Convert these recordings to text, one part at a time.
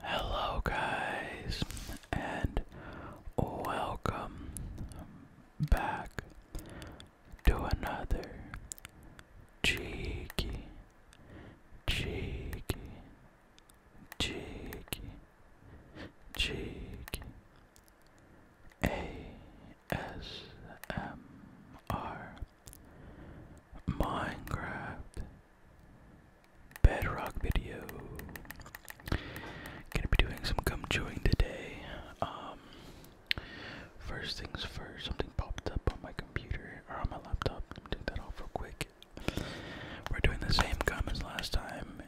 Hello, guys, and welcome back to another cheeky, cheeky, cheeky, cheeky ASMR Minecraft bedrock video. Gonna be doing some gum chewing today. Um, first things first, something popped up on my computer or on my laptop. take that off real quick. We're doing the same gum last time.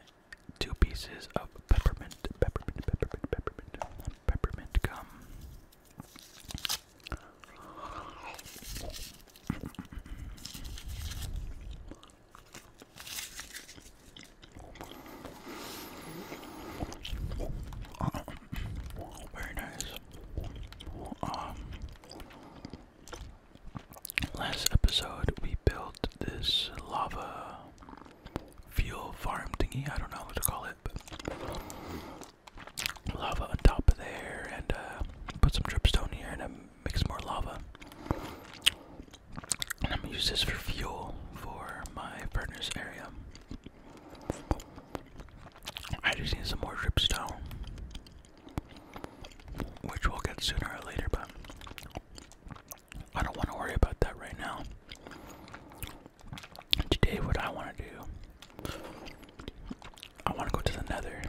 Two pieces of peppermint, peppermint, peppermint, peppermint, peppermint gum very nice. Um, last episode we built this lava fuel farm thingy. I don't know what to call it, but lava on top of there, and uh, put some dripstone here and a makes more lava. And I'm gonna use this for fuel for my partner's area. I just need some more dripstone, which we'll get sooner or later, but I don't want to worry about that right now. Today, what I want to do, I want to go to the nether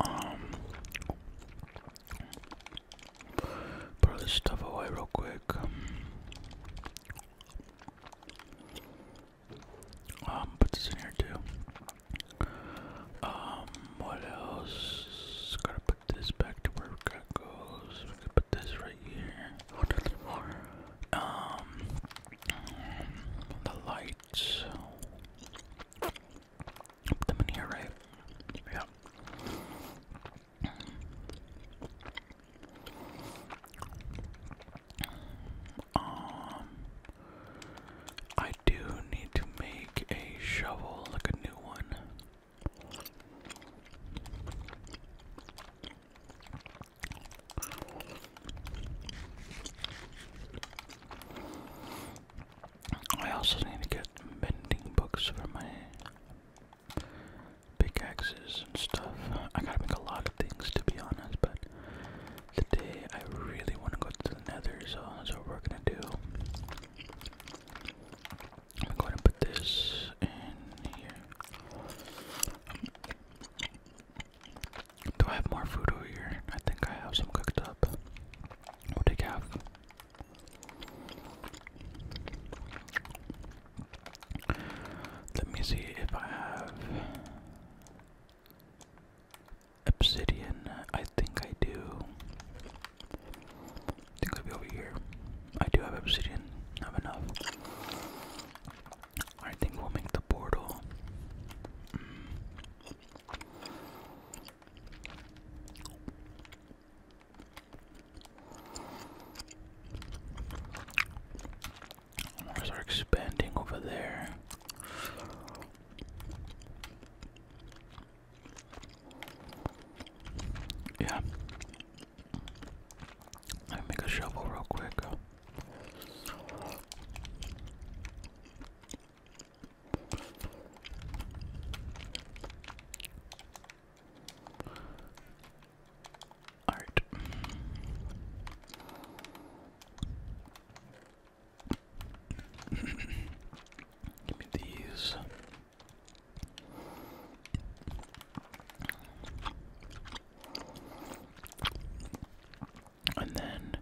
um, throw this stuff away real quick. Um, put this in here too. Um, what else? Gotta put this back to where it goes. We can put this right here. Um, the lights. Put them in here, right? Yeah. Um, I do need to make a shovel, like a new one. I also need to get mending books for my pickaxes and stuff. I gotta make a lot of things to be honest, but today I really want to go to the nether, so that's what we're gonna do. I'm going to put this in here. Do I have more food over here? I think I have some cooked up. We'll take Let me see if I have obsidian. I think I do. I think I'll be over here. I do have obsidian. I have enough. I think we'll make the portal. Mm. are expanding over there. Yeah. Let make a shovel real quick. All right. Give me these. And then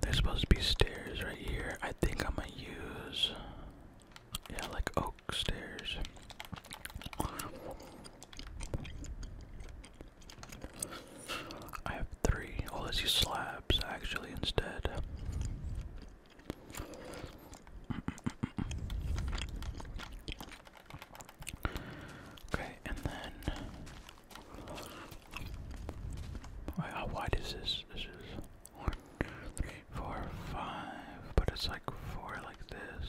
there's supposed to be stairs right here. I think I'm gonna use yeah, like oak stairs. I have three. Oh, let's use slabs actually instead. Okay, and then how wide is this? This is one, three, four, five, but it's like four like this.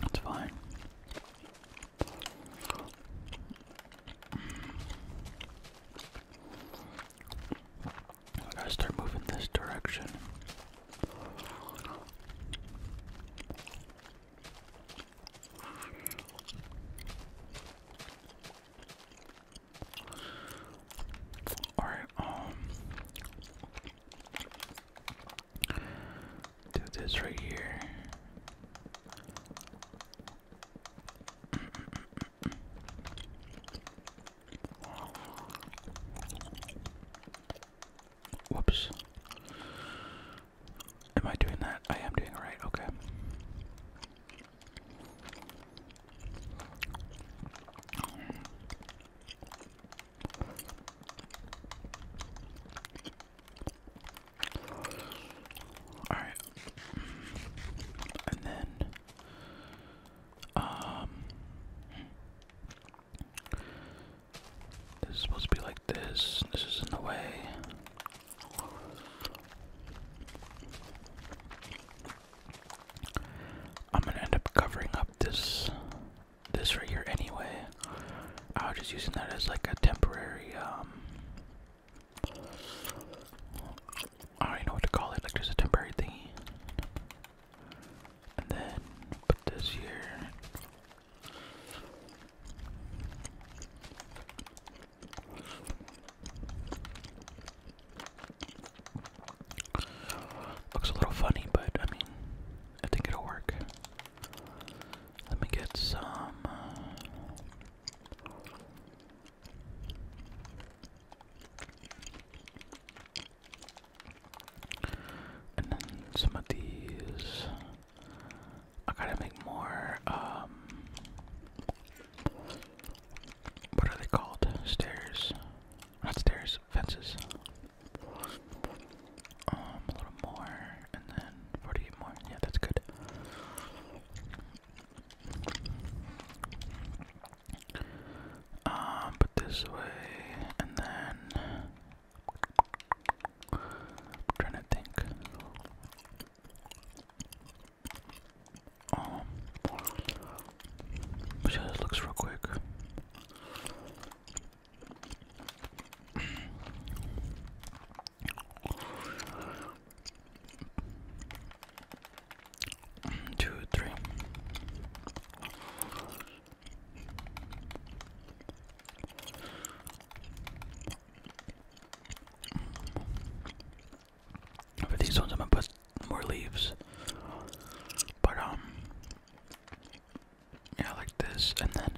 That's fine. I gotta start moving this direction. Alright, um, do this right here. Whoops. Am I doing that? I am doing right, okay. Alright. And then um, this is supposed to be like this. This is in the way. I'm gonna end up covering up this this right here anyway. I was just using that as like a temporary um I don't even know what to call it, like just a temporary thingy. And then put this here. Looks a little funny, but I mean, I think it'll work. Let me get some. Uh, and then some of these. I gotta make more, um, What are they called? Stairs. Not stairs, fences. Um, a little more, and then 48 more. Yeah, that's good. Um, put this way, and then I'm trying to think. Um, let's see how real quick. Two, three. For these ones, I'm gonna put more leaves. But, um, yeah, like this. And then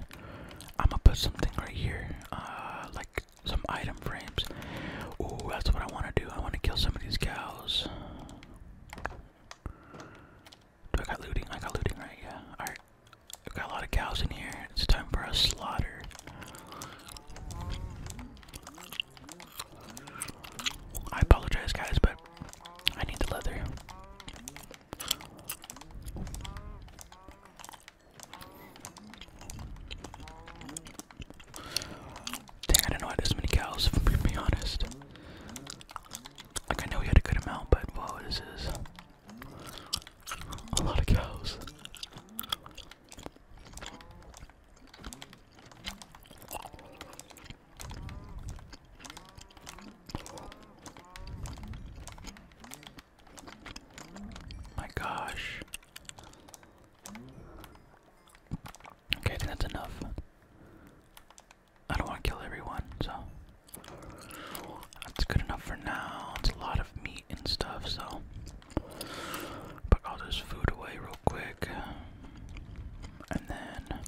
I'm gonna put something right here, uh, like some item frames. Ooh, that's what I wanna do. I wanna kill some of these cows. Do I got looting? I got looting, right? Yeah. Alright. i got a lot of cows in here. It's time for a slaughter. I apologize, guys, but I need the leather. Dang, I didn't know I had this many cows, if I'm gonna be honest. Like, I know we had a good amount, but whoa, this is a lot of cows. My gosh. Okay, that's enough. I don't want to kill everyone, so that's good enough for now. It's a lot of meat and stuff, so put all this food away real quick. And then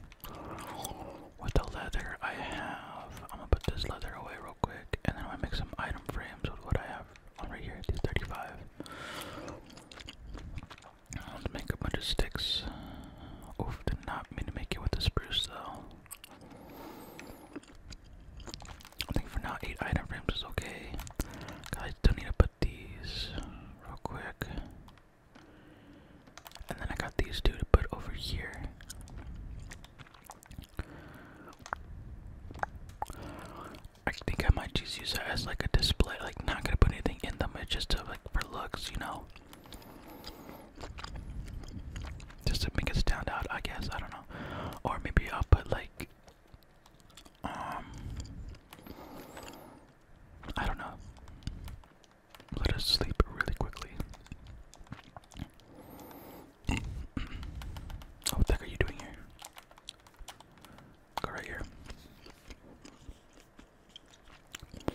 with the leather I have, I'm gonna put this leather away real quick, and then I'm gonna make some item frames with what I have on right here, 35. I am going to make a bunch of sticks. Uh, oof, did not mean to make it with the spruce though. I think for now, 8 item frames is okay. Guys, don't need to put these real quick. And then I got these two to put over here. I think I might just use that as like a display, not gonna put anything in them. It's just to like for looks, you know. Just to make it stand out, I guess. I don't know. Or maybe I'll put like um I don't know. Let us sleep really quickly. what the heck are you doing here? Go right here.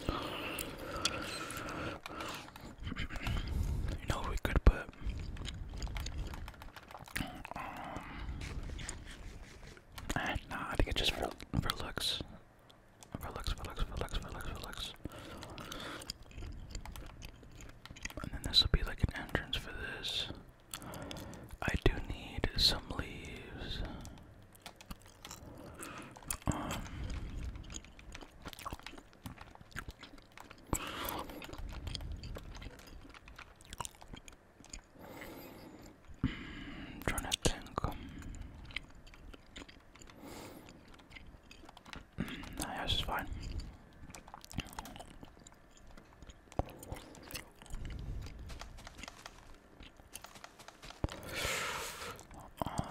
You know we could put um, nah I think it just for for looks. For looks, for looks, for looks, for looks, for looks. And then this will be like an entrance for this. I do need some leaves. Um, I'm trying to mm, fine. Um,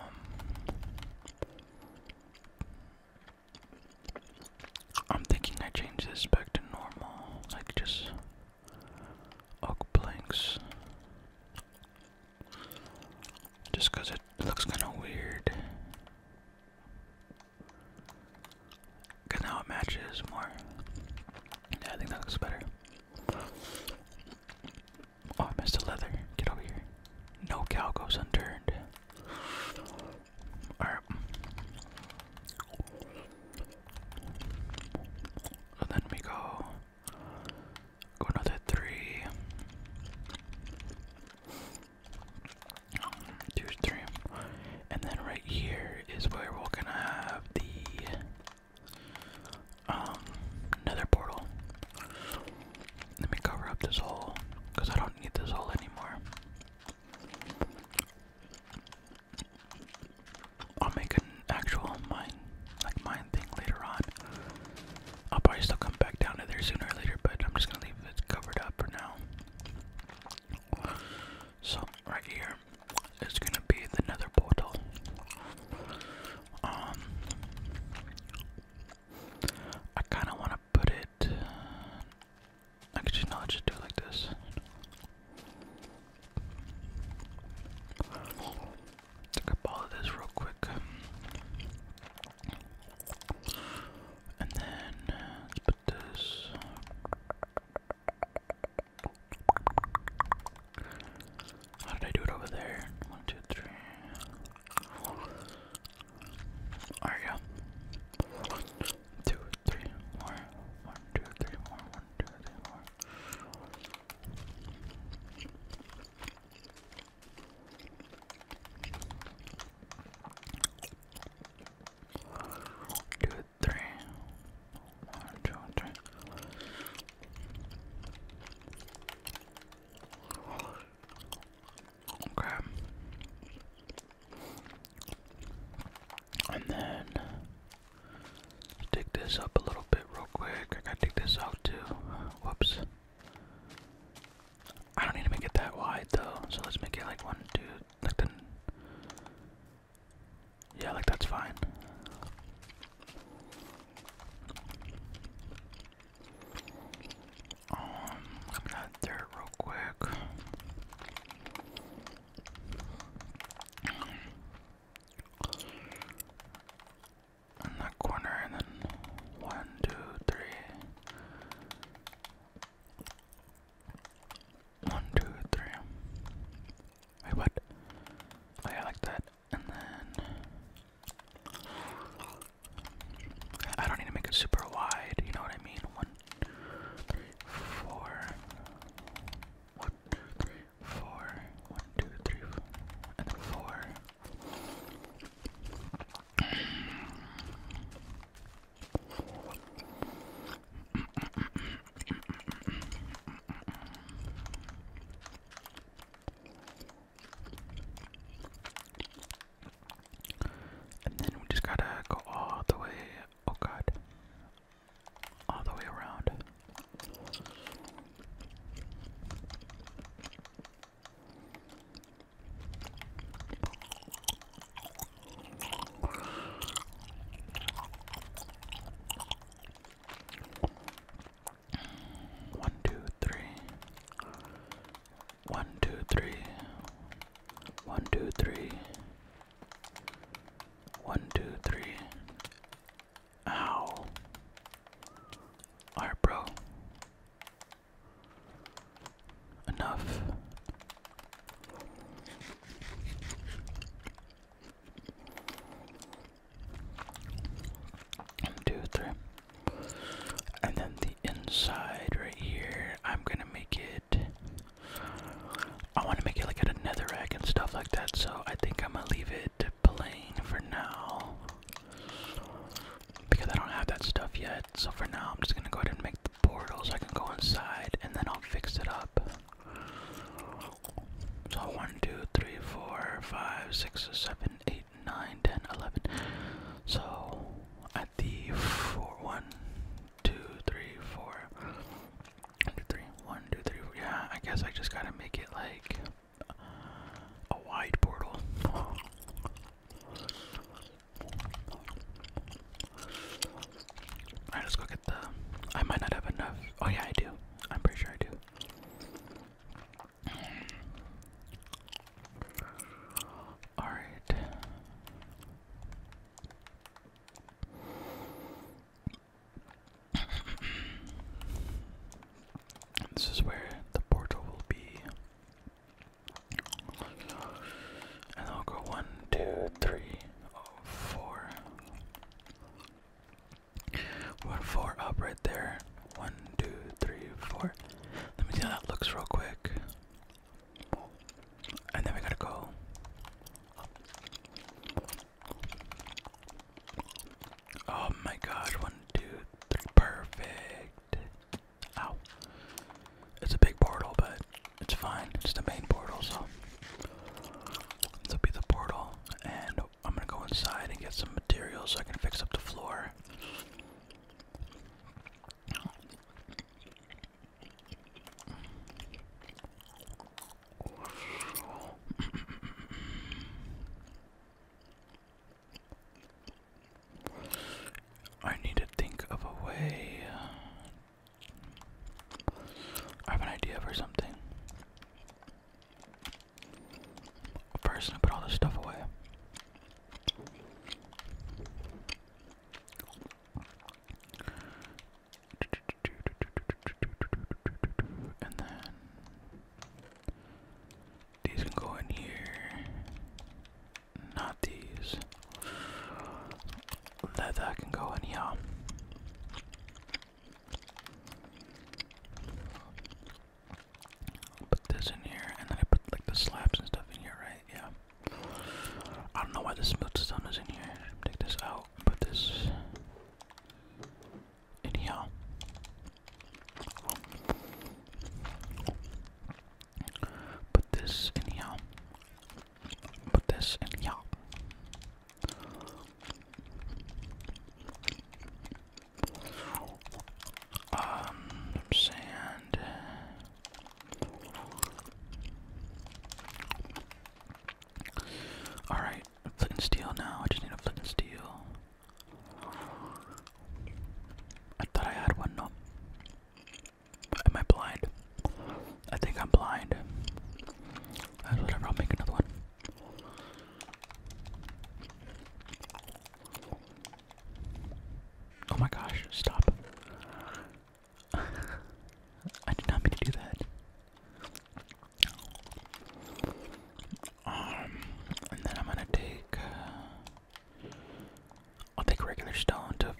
I'm thinking I change this back to normal, like just oak planks. Just it looks kinda weird. Cause now it matches more. Yeah, I think that looks better. Oh, I missed a leather. Get over here. No cow goes unturned. Alright. So then we go. Go another three. And then right here is where we're gonna have the um, nether portal. Let me cover up this hole, because I don't need this hole anymore. I'll make an actual mine, like mine thing later on. I'll probably still come back down to there sooner or later, but I'm just gonna leave it covered up for now. So, right here, it's gonna be the nether portal. Um I kinda wanna put it actually no let just do it like this. Take up all of this real quick. And then uh, put this how did I do it over there? One, two, three. Four. There One, two, three, more. One, three. One, Okay. And then dig this up a little bit real quick. I gotta dig this out too. Whoops. I don't need to make it that wide though, so let's make it like one, two, like the yeah, like that's fine. Um, I'm going real quick. In that corner, and then one, two, three. One, two, three. Wait, what? Oh yeah, like that. And then I don't need to make it super wide, you know what I mean? One, three, four. and four. And then we just gotta go all the way. Oh god. All the way around. One, two, three. One, two, three. One, two, three. One, two, three. Ow. Alright, bro. Enough. And And then the inside right here, I'm gonna make it. I wanna make it like at a netherrack and stuff like that, so I think I'm gonna leave it plain for now. Because I don't have that stuff yet, so for now I'm just gonna go ahead and make the portals. I can go inside and then I'll fix it up. So 1, 2, 3, 4, 5, 6, 7, 8, 9, 10, 11. So at the 4, 1, yeah, I guess I just gotta make it like a wide portal. Alright, let go get the. I might not have enough. Oh, yeah, I do. I'm pretty sure I do. All right. This is where the portal will be. And I'll go one, two, three, oh, four. One four up right there. One, two, three, four. Let me see how that looks real quick. And then we gotta go. Oh my god, one, two, three, perfect. Ow. It's a big portal, but it's fine. It's the main portal, so. This will be the portal, and I'm gonna go inside and get some materials so I can fix up the floor. I need to think of a way. I have an idea for something a person to put all this stuff away. And then these can go in here. Not these. Leather can go in here. Put this in here, and then I put like the slabs and stuff in here, right? Yeah. I don't know why the smooth stone is in here. Take this out. Put this in here. Put this in here. Put this in here. Um, sand. Alright, flint and steel now. I just need a flint and steel. I thought I had one, no. Am I blind? I think I'm blind. whatever, I'll make another one. Oh my gosh, stop. I did not mean to do that. Um, and then I'm gonna take, uh, I'll take regular stone to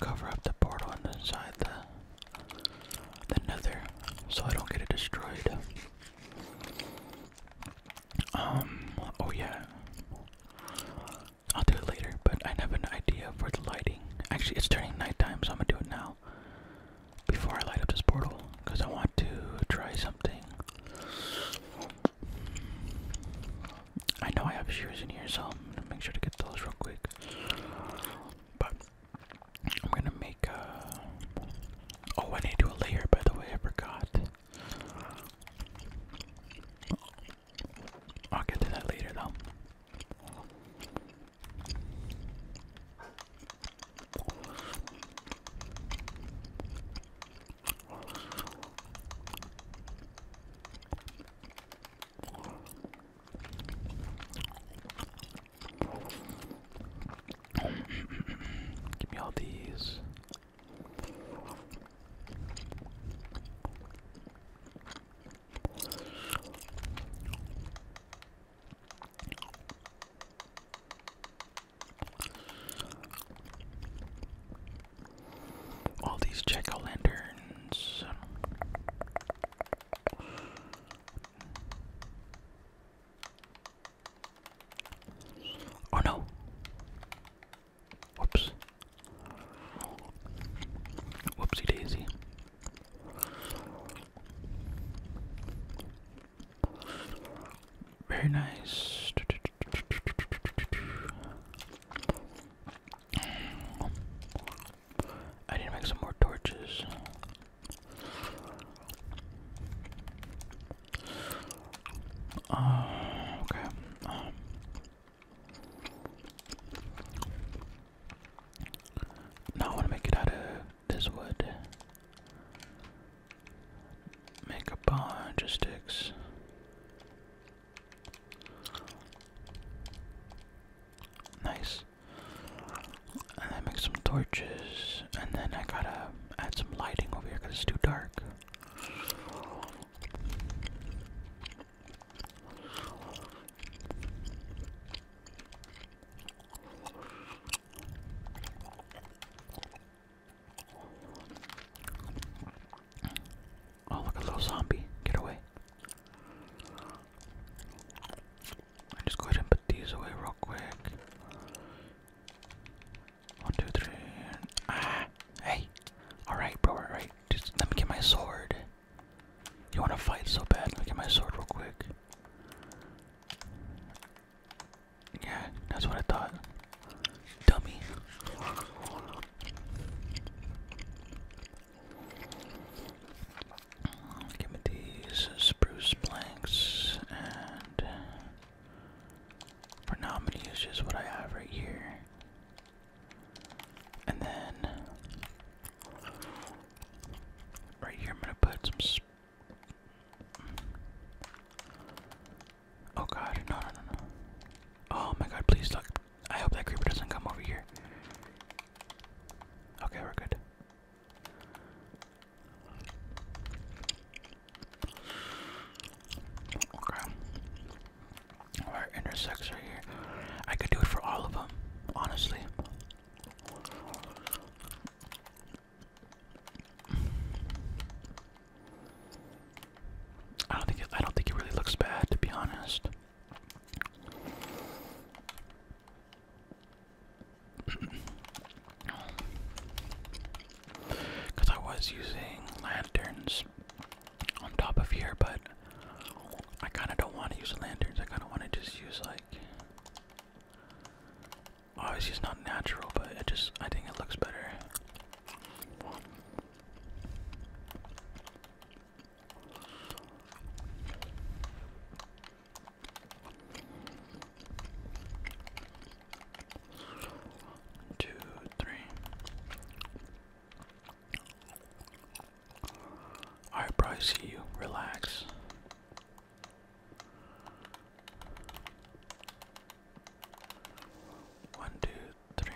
cover up the portal inside the the nether so I don't get it destroyed. Um, oh yeah. I'll do it later, but I have an idea for the lighting. Actually, it's turning nighttime, so I'm gonna do it now. Before I light up this portal, because I want to try something. I know I have shoes in here, so I'm gonna make sure to get those real quick. But I'm gonna make a. Oh, I need to do a layer, by the way, I forgot. I'll get to that later, though. Give me all these. All these jack lanterns. Oh no. Whoops. Whoopsie daisy. Very nice. I need to make some more torches okay. Now I want to make it out of this wood. Make a bunch of sticks. Nice. And then make some torches. And then I gotta add some lighting over here because it's too dark. Oh, look, a little zombie. Get away. And just go ahead and put these away real quick. One, two, three. Ah, hey. All right, bro. All right. Just let me get my sword. You want to fight so bad? Let me get my sword real quick. Yeah, that's what I thought. Dummy. Give me these spruce planks, and for now I'm gonna use just what I have right here. And then right here I'm gonna put some. oh god, no, no, no, no. Oh my god, please look. I hope that creeper doesn't come over here. Okay, we're good. Okay. Alright, intersects right here. I could do it for all of them, honestly. I don't think I don't think it really looks bad, to be honest. Because I was using lanterns on top of here, but I kind of don't want to use lanterns. I kind of want to just use like. Obviously, it's not natural, but it just. I think it looks better. Two, three. Alright, I see you. Relax. One, two, three.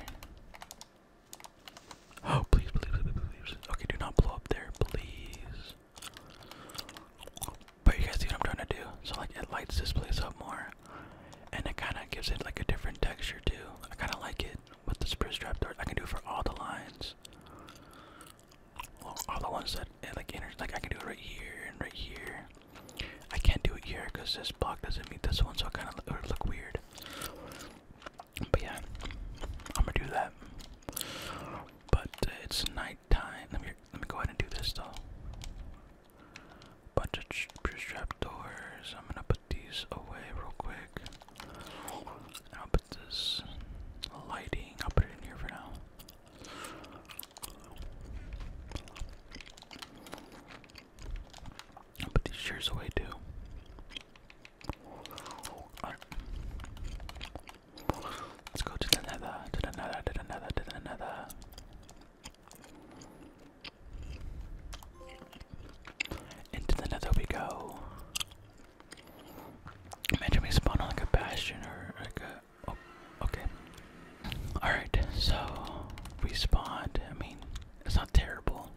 Oh, please, please, please, please. Okay, do not blow up there, please. But you guys see what I'm trying to do? So like it lights this place up more. And it kinda gives it like a different texture too. I kinda like it with the spruce trapdoor. I can do it for all the lines. all the ones that eh, like enters like I can do it right here and right here. I can't do it here because this block doesn't meet this one, so it kinda would look weird. But yeah, I'm gonna do that. But uh, it's nice nighttime. Let me let me go ahead and do this though. Bunch of trap doors. I'm gonna put these away real quick. And put this lighting. I'll put it in here for now. I'll put these chairs away too. Let's go to the nether, to the nether, to the nether, to the nether. Into the nether we go. Imagine we spawn on like a bastion or like a. Oh, okay. Alright, so we spawned. I mean, it's not terrible.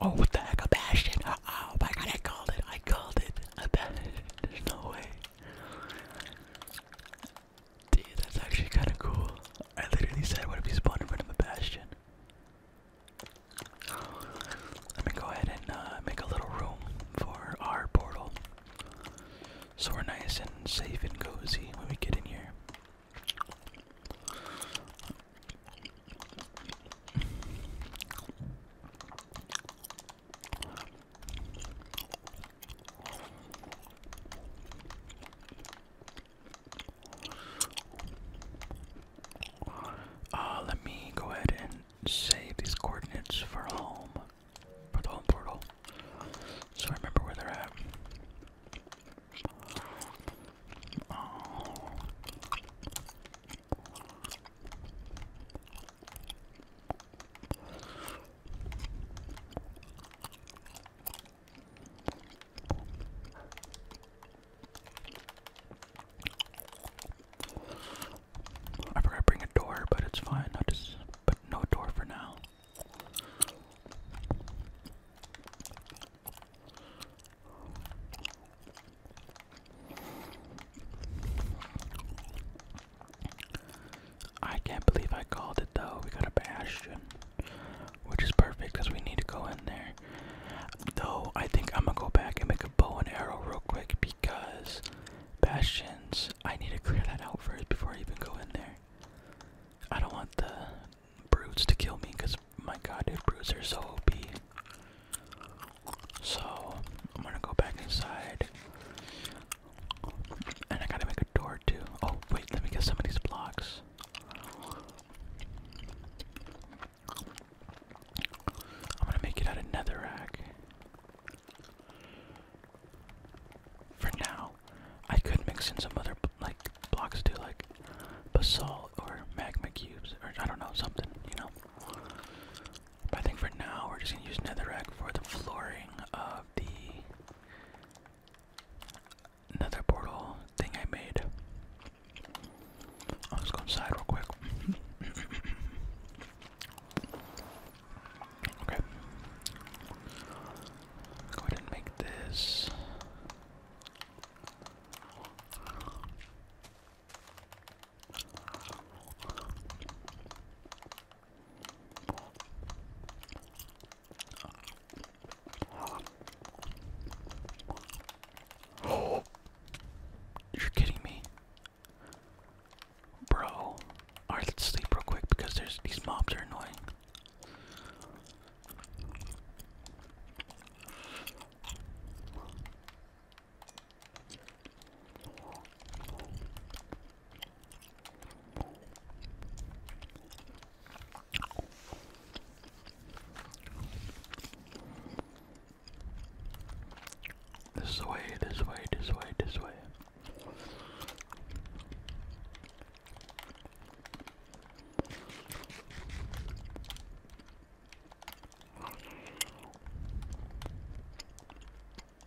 Oh, what the heck? A bastion! Oh, oh my god, I called it! I called it! A bastion! There's no way. Dude, that's actually kind of cool. I literally said, what if you spawned in front of a bastion? Let me go ahead and uh, make a little room for our portal. So we're nice and safe and cozy when we get in here. Uh, let me go ahead and save these coordinates for home, for the home portal, so I remember where they're at. Oh. I forgot to bring a door, but it's fine. I just but no door for now. I can't believe I called it though. We got a bastion, which is perfect because we need to go in there. Though I think I'm gonna go back and make a bow and arrow real quick because bastions. I need to clear that out first before I even go in there. I don't want the brutes to kill me because my god, dude, brutes are so OP. So I'm gonna go back inside. And I gotta make a door too. Oh wait, let me get some of these blocks. I'm gonna make it out of netherrack. For now, I could mix in some other like blocks too, like basalt or magma cubes, or I don't know something, you know. I think for now we're just gonna use nether egg for the flooring of the nether portal thing I made. I'll go inside real quick. okay. Go ahead and make this you're kidding me, bro. All right, let's sleep real quick because there's these mobs are annoying. This way, this way, this way, this way.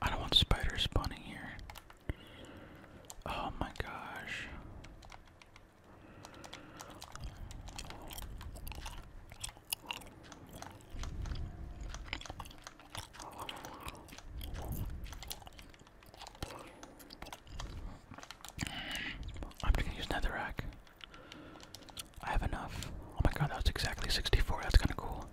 I don't want spiders spawning here. Oh my gosh. I'm just gonna use netherrack. I have enough. Oh my god, that was exactly 64. That's kind of cool.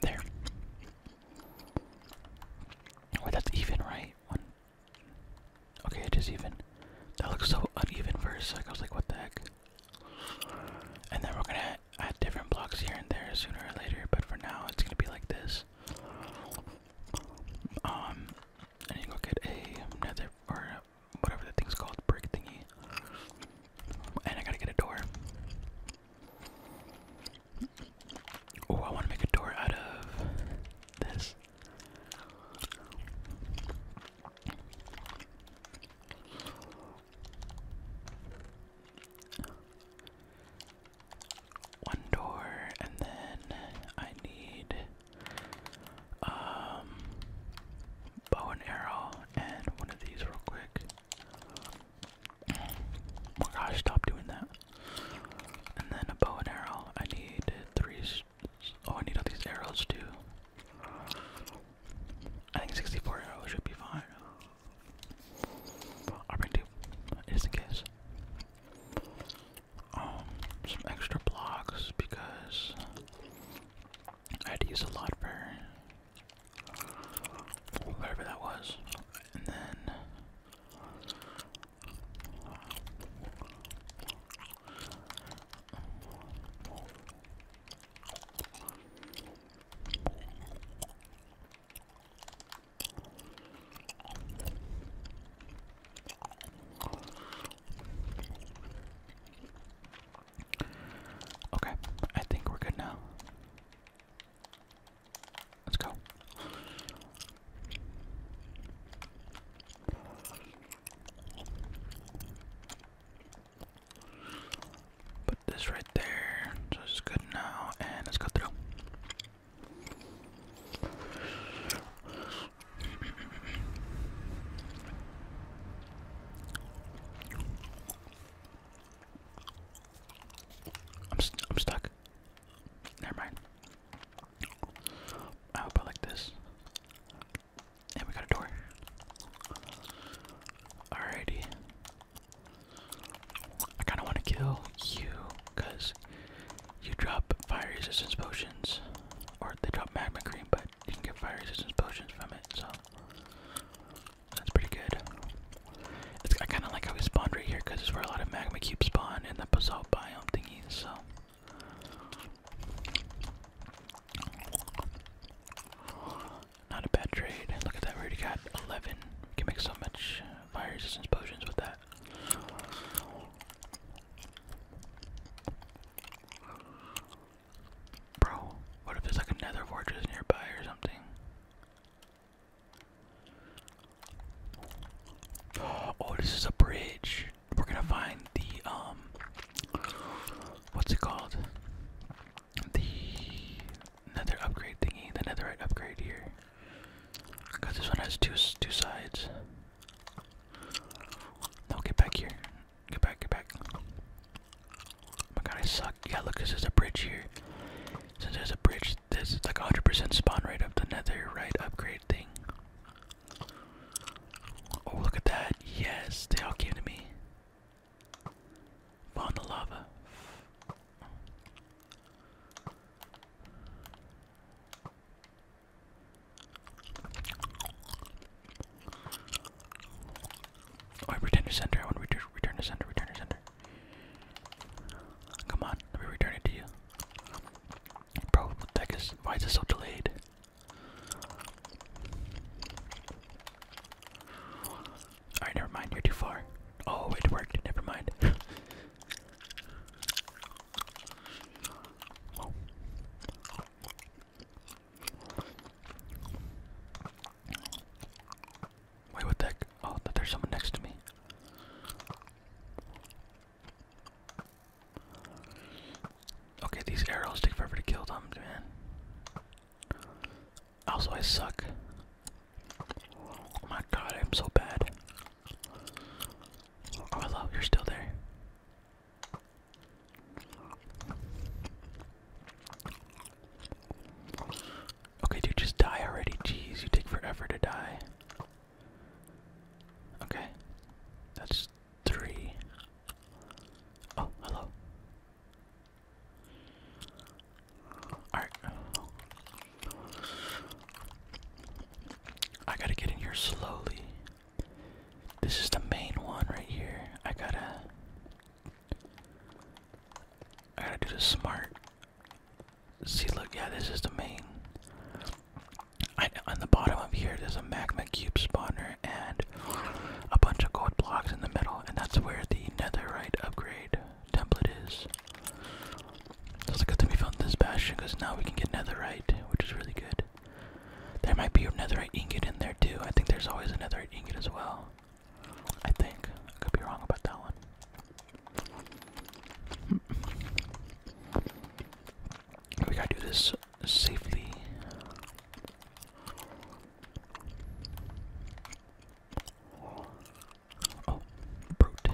There. Wait, oh, that's even, right? One. Okay, it is even. That looks so uneven for a sec. I was like, what the heck? And then we're gonna add different blocks here and there sooner or later, but for now it's gonna be like this. Um, and you go get a nether or whatever the thing's called, brick thingy. And I gotta get a door. Oh, I want to make a door out of this one door, and then I need um bow and arrow and one of these real quick. Oh my gosh, stop doing that. And then a bow and arrow. I need three. Oh, I need all these arrows too. I think 64 arrows should be fine. I bring two, just in case. Um, some extra blocks because I had to use a lot for whatever that was, and then. Okay, I think we're good now. Let's go. Put this right there. So it's good now, and let's go through. I'm, i I'm stuck. Never mind. I hope I like this. And we got a door. Alrighty. I kind of want to kill you because you drop fire resistance potions, or they drop magma cream, but you can get fire resistance potions from it, so that's pretty good. It's, I kind of like how we spawned right here because it's where a lot of magma cubes spawn in the basalt biome thingies, so. Not a bad trade. Look at that, we already got 11. We can make so much uh, fire resistance potions with that. Bro, what if there's like another fortress nearby or something? Oh, this is a bridge. We're gonna find the um what's it called? The nether upgrade thingy, the netherite upgrade here. Cause this one has two two sides. No, get back here. Get back, get back. Oh my god, I suck. Yeah, look, cause there's a bridge here. Since there's a bridge, there's like 100% spawn rate of the nether right upgrade thing. Oh, look at that. Yes, they all came to me. On the lava. Oh, return to center. I want to return, return to center. Return to center. Come on, let me return it to you. Bro, what the heck is? Why is it so delayed? Alright, never mind, you're too far. Oh, it worked, never mind. Wait, what the Oh, there's someone next to me. Okay, these arrows take forever to kill them, man. Also, I suck. Oh my god, I'm so bad. hello, oh, you're still there. Okay, dude, just die already. Jeez, you take forever to die. Okay, that's three. Oh, hello. Alright. I gotta get in here slowly. This is the main one right here. I gotta. I gotta do the smart. See, look, yeah, this is the main. I, on the bottom of here, there's a magma cube spawner and a bunch of gold blocks in the middle, and that's where the netherite upgrade template is. So it's good that we found this bastion now we can get netherite, which is really good. There might be a netherite ingot in there too. I think there's always a netherite ingot as well. I think. I could be wrong about that one. We gotta do this safely. Oh, brute.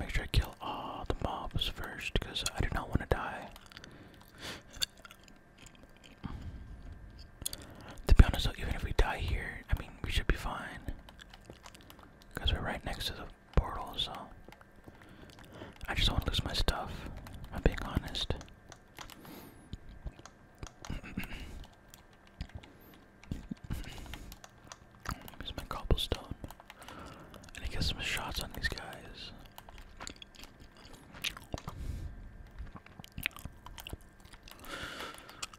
make sure I kill all the mobs first because I do not want to die. To be honest even if we die here, I mean, we should be fine. Because we're right next to the portal, so. I just don't want to lose my stuff, I'm being honest. Use my cobblestone. And get some shots on these guys.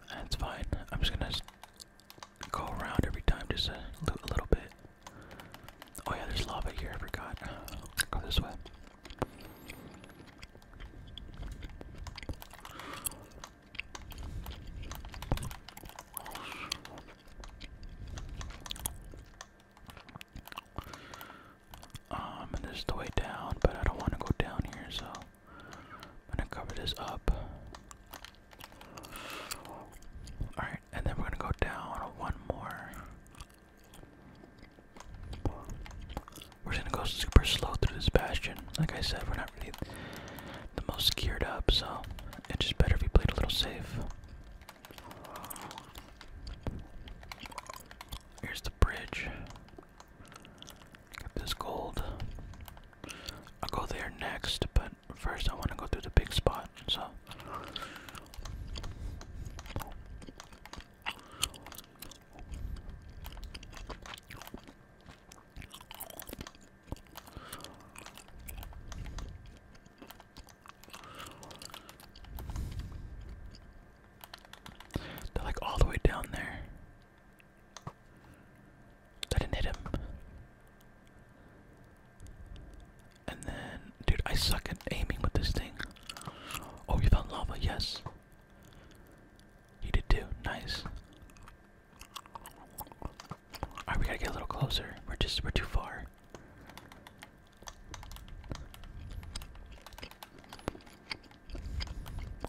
That's fine. I'm just gonna go around every time just a, a little bit. Oh yeah, there's lava here, I forgot. Go this way. Um, and this is the way down, but I don't want to go down here, so I'm gonna cover this up. Alright, and then we're gonna go down one more. We're gonna go super slow through this bastion. Like I said, we're not really the most geared up, so it's just better if we played a little safe. Here's the bridge. Get this gold. I'll go there next, but first I want to go through the big spot, so. They're like all the way down there. I didn't hit him. And then, dude, I suck at aiming with this thing. Oh, you found lava, yes. You did too, nice. Alright, we gotta get a little closer. We're just, we're too far.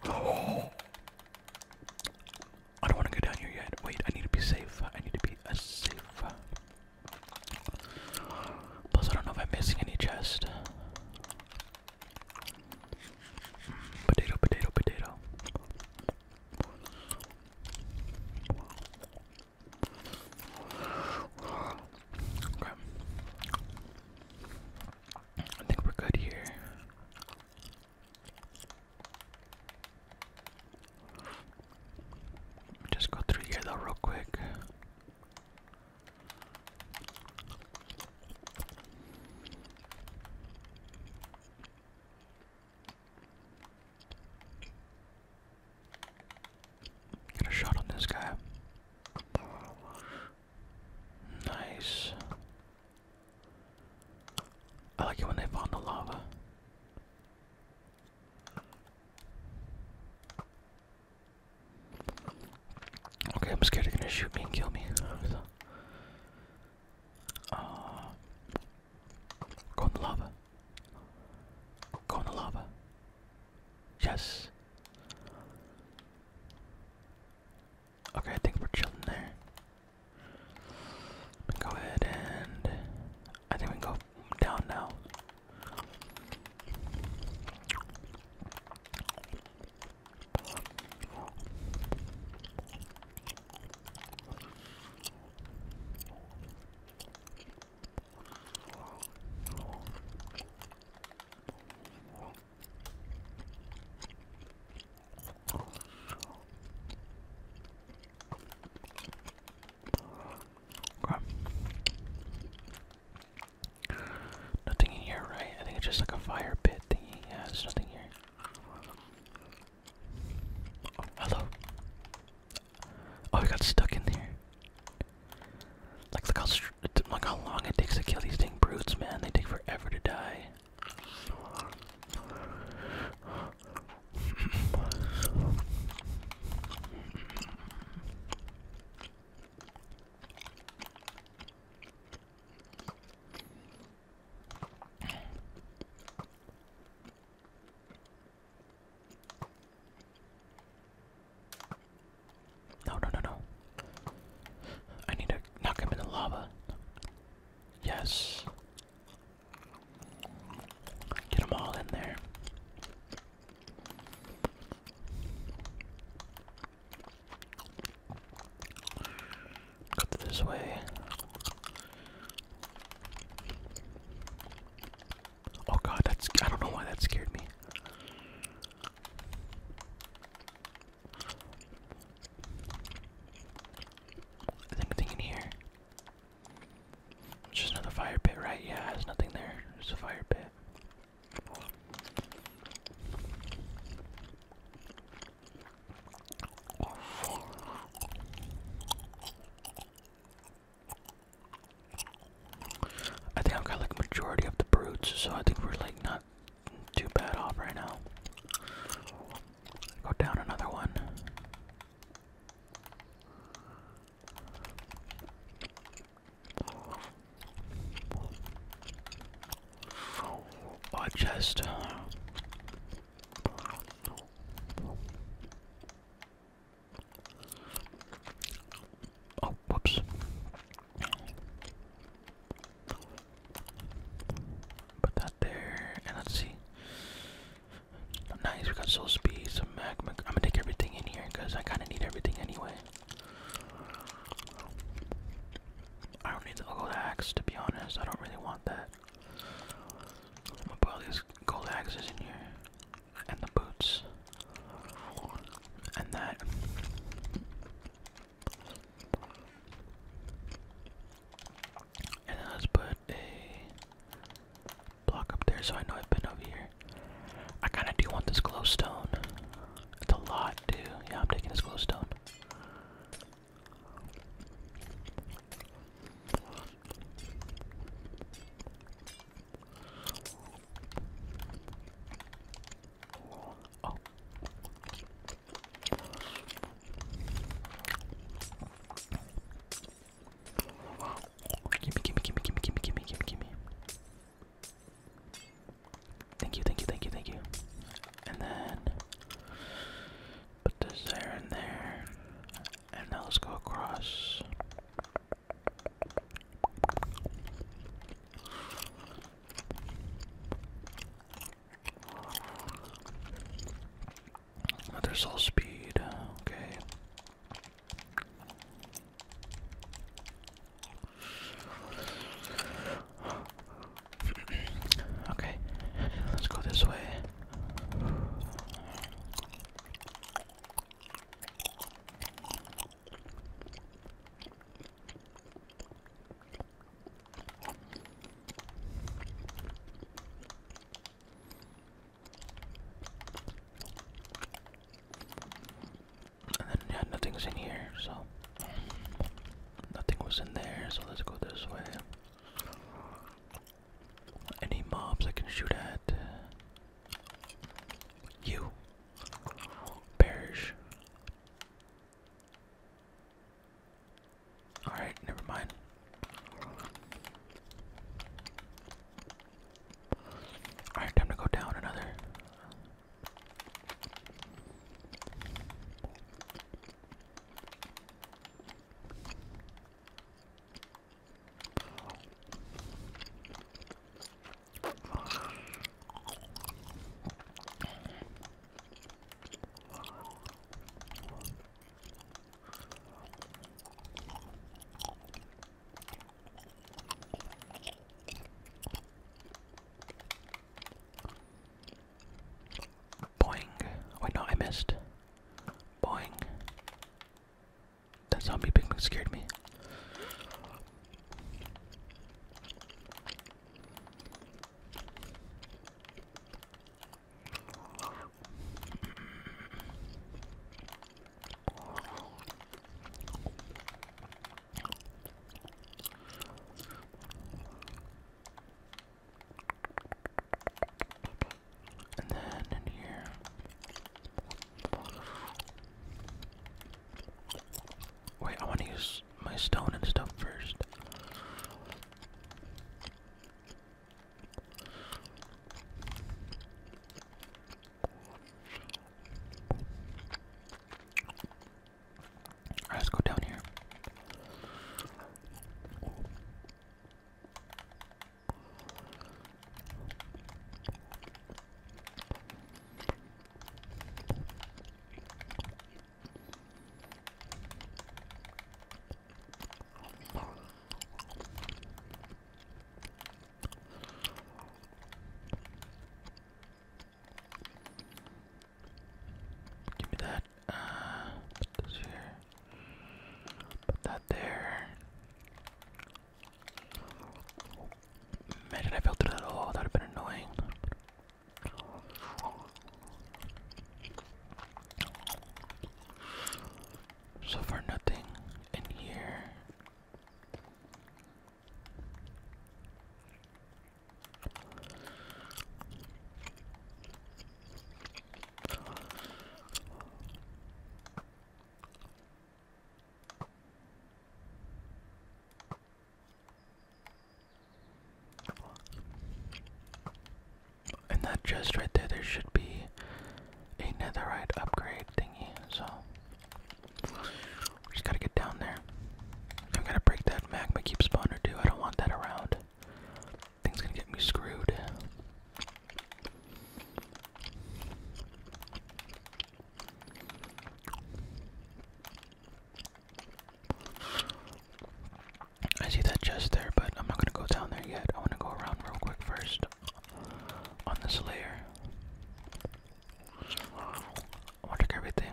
Oh. I don't want to go down here yet. Wait, I need to be safe. I need to be as safe. Plus, I don't know if I'm missing any chest. potato, potato, potato. Okay. I think we're good here. Just go through here though, real quick. Get a shot on this guy. Nice. I like it when they find the lava. Okay, I'm scared they're gonna shoot me and kill me. So, uh, go in the lava. Go in the lava. Yes. Okay, I think we're chilling there. go ahead and I think we go down now. Nothing in here, right? I think it's just like a fire pit thingy. Yeah, there's nothing here. Oh, hello. Oh, I got stuck in there. Like, look how, look how long it takes to kill these dang brutes, man. They take forever to die. No, no, no, no. I need to knock him in the lava. Yes. Get them all in there. Cut this way. Oh god, that's I don't know why that scared me. Is anything in here? just another fire pit, right? Yeah, there's nothing there. Just a fire pit. I think I've got like majority of the brutes, so I think we're like not too bad off right now. Go down another one. Oh, chest. Oh, whoops. But there, and let's see. Nice, we got soul speed, some magma. I'm gonna take everything in here because I kind of need everything anyway. I don't need the gold axe to be honest. I don't really want that. I'm gonna put all these gold axes in here, and the boots, and that let's put a block up there so I know I've been over here. I kind of do want this glowstone. It's a lot, too. Yeah, I'm taking this glowstone. Oh. Gimme, gimme, gimme, gimme, gimme, gimme, gimme, gimme. Thank you, thank you, thank you, thank you. And then put this there and there. And now let's go across. Another soul speed, okay. okay, let's go this way. And then yeah, nothing's in here, so nothing was in there, so let's go this way. Any mobs I can shoot at? You perish. Alright, never mind. Alright, time to go down another. Boing. Wait, no, I missed. Boing. That zombie pig scared me. And then in here. Wait, I want to use my stone and stuff first. let's go down here. Give me that. Uh, put that there. Imagine I fell through that hole. That would have been annoying. So far, nothing in here. In that chest right there, there should be a netherite upgrade thingy, so. just gotta get down there. I'm gonna break that magma keep spawner too, I don't want that around. Thing's gonna get me screwed. I see that chest there, but I'm not gonna go down there yet. I wanna go around real quick first on this layer. check everything.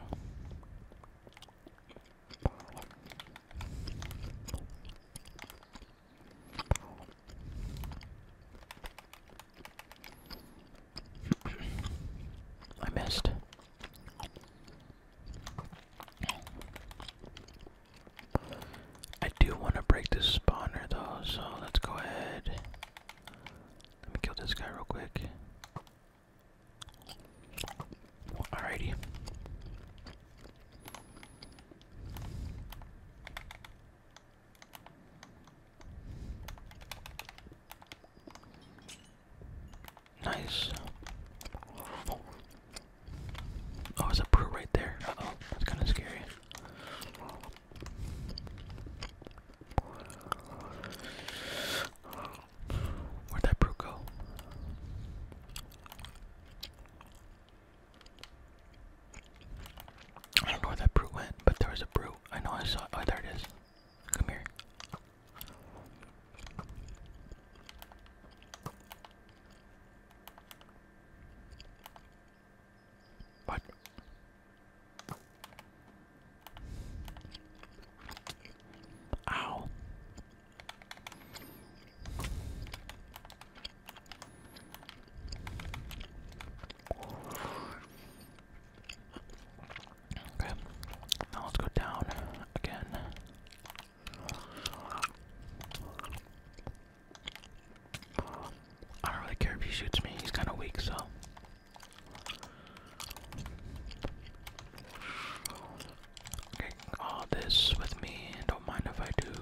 I missed. I do want to break this spawner though, so let's go ahead. Let me kill this guy real quick. Alrighty. Nice. Oh, there's a brew right there. that's kind of scary. Where'd that brew go? I don't know where that brew went, but there was a brew. I know I saw it. Oh, there it is. Come here. What? Ow. Okay, now let's go down again. I don't really care if he shoots me, he's kind of weak, so. Okay, all this with me, don't mind if I do.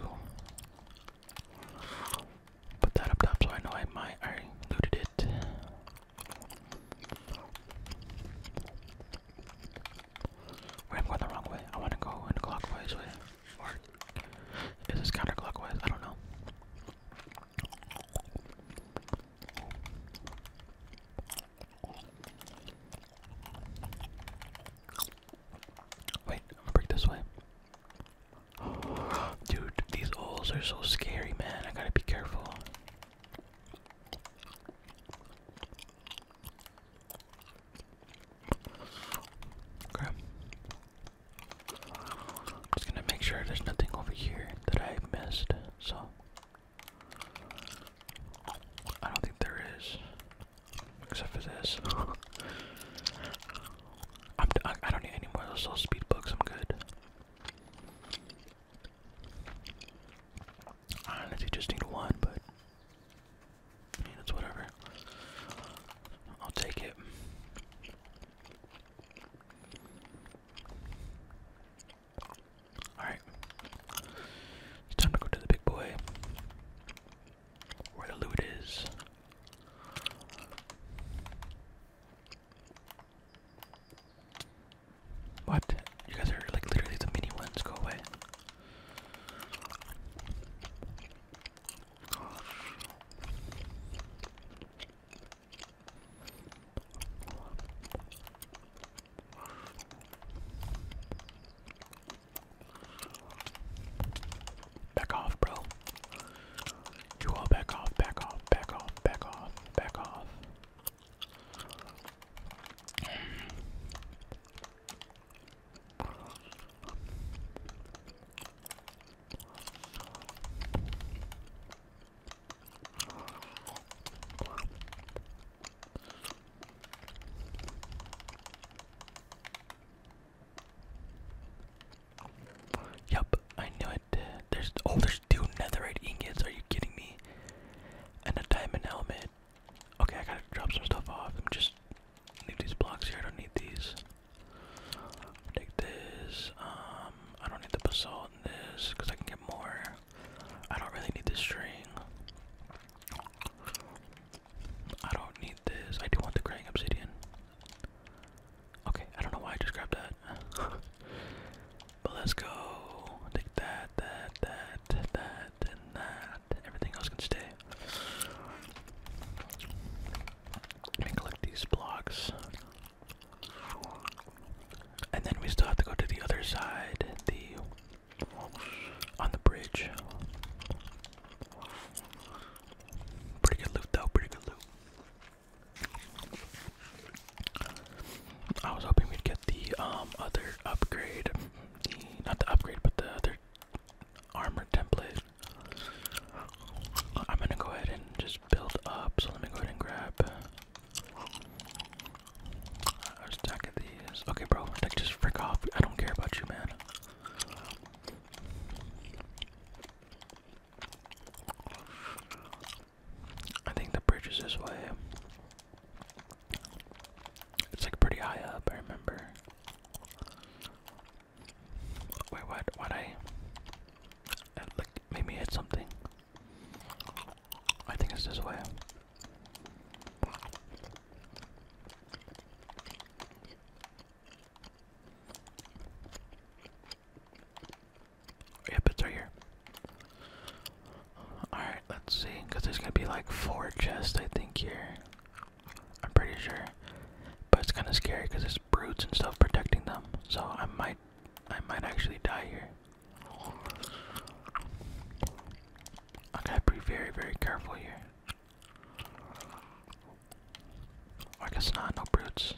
Put that up top so I know I might, I looted it. I'm going the wrong way. I want to go in a clockwise way. Or is this counterclockwise? I don't know. Wait, I'm gonna break this way. Dude, these holes are so scary, man. I gotta be careful. Okay. Just gonna make sure there's nothing over here that I missed, so I don't think there is. Except for this. I'm d I don't need any more little speed books, I'm good. I honestly just need one, but I whatever. I'll take it. Alright. It's time to go to the big boy. Where the loot is. What? You guys are like literally the mini ones. Go away. Back off, bro. You all back off, back off, back off, back off, back off. Yep, I knew it. There's oh, there's two netherite ingots. Are you kidding me? And a diamond helmet. Okay, I gotta drop some stuff off. Let me just leave these blocks here. I don't need these. Take this. Um, I don't need the basalt in this because I can get more. I don't really need this string. I don't need this. I do want the graying obsidian. Okay, I don't know why I just grabbed that. but let's go. Take that, that, that, that that, and that. Everything else can stay. Let collect these blocks. And then we still have to go to the other side, the on the bridge. Pretty good loot though, pretty good loot. I was hoping we'd get the um other upgrade not the upgrade, but the other armor template. I'm gonna go ahead and just build up. So let me go ahead and grab. I stack of these. Okay, bro. just frick off. I don't care about you, man. I think the bridge is this way. It's like pretty high up, I remember. Wait, what? What I? Uh, like made hit something. I think it's this way. Yep, it's right here. Alright, let's see. Because there's going to be like four chests, I think, here. I'm pretty sure. But it's kind of scary because there's brutes and stuff protecting them. So I might, I might actually die here. I gotta be very, very careful here. I guess not, no brutes.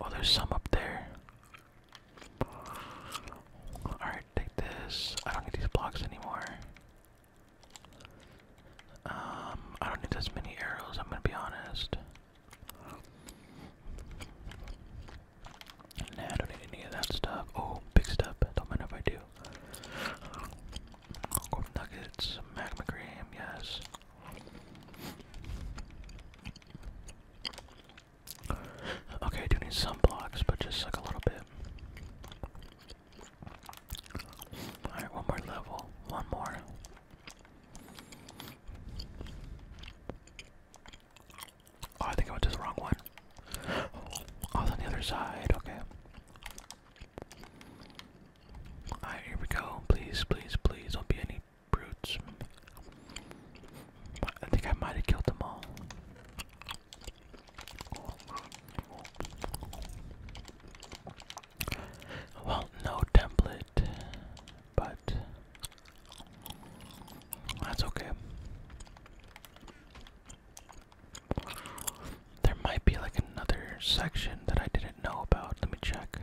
Oh, there's some up there. Alright, take this. I don't need these blocks anymore. Um, I don't need as many arrows, I'm gonna be honest. I don't need any of that stuff. Oh, big step. Don't mind if I do. Gold nuggets, magma cream, yes. Okay, I do need some blocks, but just like a little bit. Alright, one more level. One more. Oh, I think I went to the wrong one. Oh, on the other side, okay. Alright, here we go. Please, please, please, don't be any brutes. I think I might have killed them all. Well, no template, but that's okay. There might be like another section that I didn't know about. Let me check.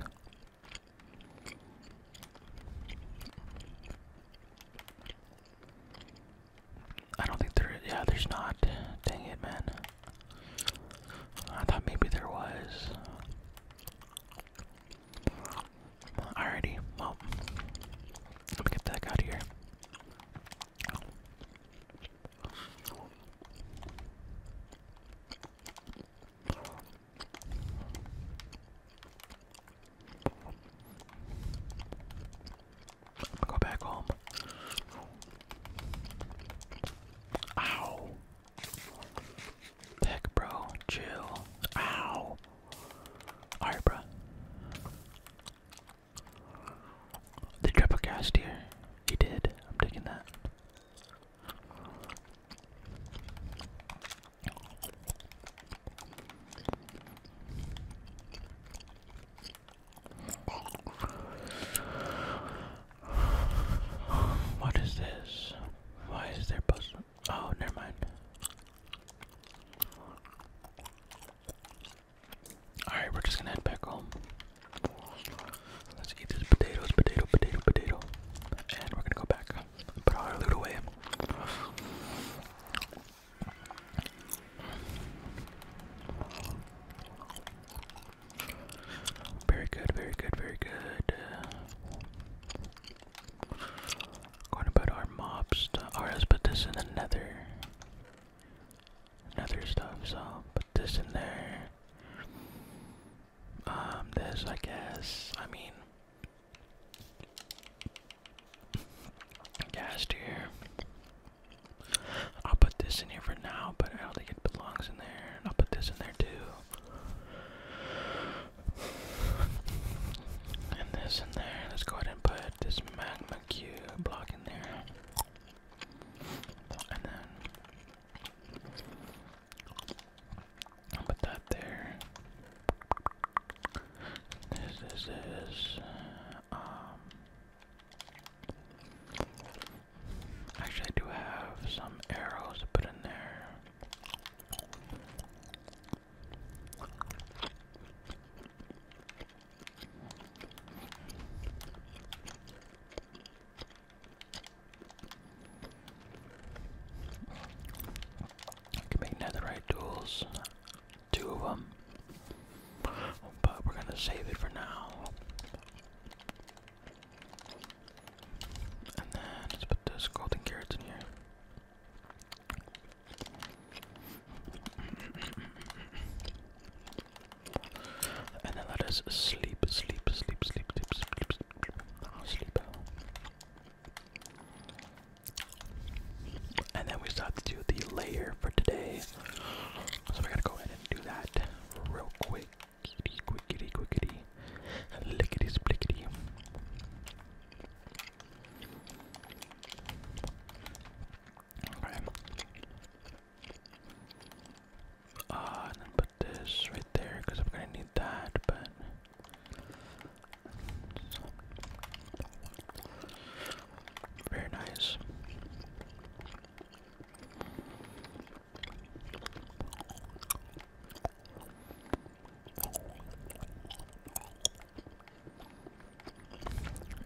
I don't think there. Yeah, there's not. Dang it, man. I thought maybe there was. Alrighty, well, let me get the out of here. I'm gonna go back home. Ow. Heck, bro. Chill. Ow. Alright, bro. They here. He did. I'm taking that. What is this? Why is there puzzle? Oh, never mind. Alright, we're just gonna head back home. Let's eat these potatoes, potato, potato, potato. And we're gonna go back put our loot away. Very good, very good, very good. Going about our mob stuff. Alright, put this in the nether. Nether stuff, so put this in there. Um, this, I guess. I mean, Gas here. I'll put this in here for now, but I don't think it belongs in there. I'll put this in there too. And this in there. Let's go ahead and put this magma cube block in there. And then I'll put that there. This, this is, um, actually I do have some arrows put in there. I can make netherite tools. Two of them. But we're gonna save it for now. And then let's put those golden carrots in here. And then let us sleep, sleep, sleep, sleep, sleep, sleep, sleep, sleep. sleep. And then we start to do the layer for today. So we're to go ahead and do that real quick. Quickity, quickity, quickity. Lickety splickety. Okay. Uh, and put this right there because I'm gonna need that, but very nice.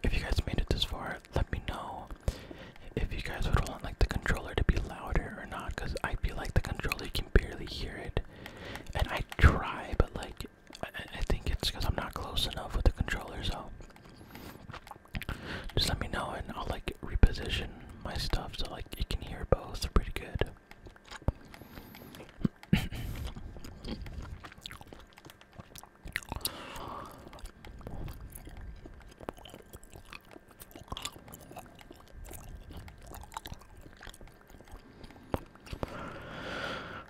If you guys made it this far, let me know if you guys would want like the controller to be louder or not, because I feel like the controller can barely hear it. And I try, but like I, think it's because I'm not close enough with the controller, so just let me know and I'll like reposition my stuff so like you can hear both pretty good.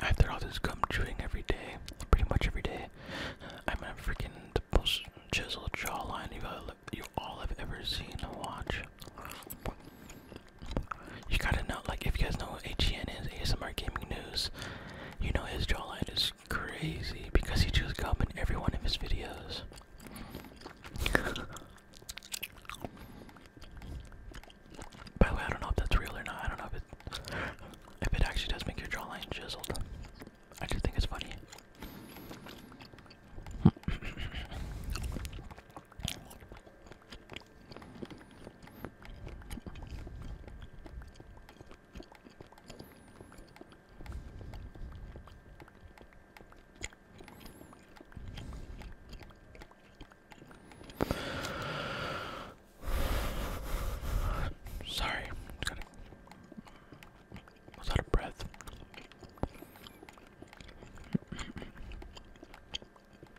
After all this gum chewing every day, pretty much every day, I'm a freaking the most chiseled jawline you all, you all have ever seen. Watch you gotta know, like, if you guys know what HGN is, ASMR Gaming News, you know his jawline is crazy because he chews gum in every one of his videos. By the way, I don't know if that's real or not. I don't know if it, if it actually does make your jawline chiseled. I just think it's funny. Sorry, I'm out of breath.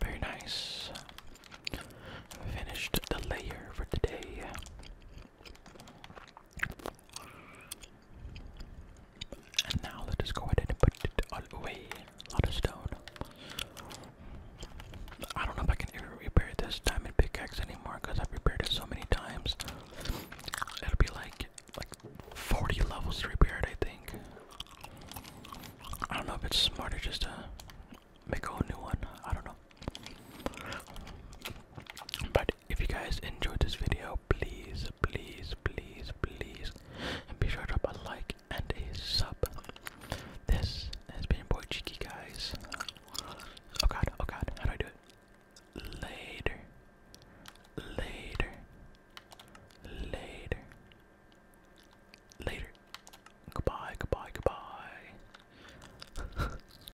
Very nice. Finished the layer for today. And now let us go ahead and put it all away. A lot stone. I don't know if I can ever repair this diamond pickaxe anymore because I've repaired it so many times. It'll be like like 40 levels repaired, I think. I don't know if it's smarter just to make a whole new one. I don't know. But if you guys enjoyed this video, please, please, please, please, and be sure to drop a like and a sub. This has been boy Cheeky, guys. Oh god, oh god, how do I do it? Later, later, later, later. Goodbye, goodbye, goodbye.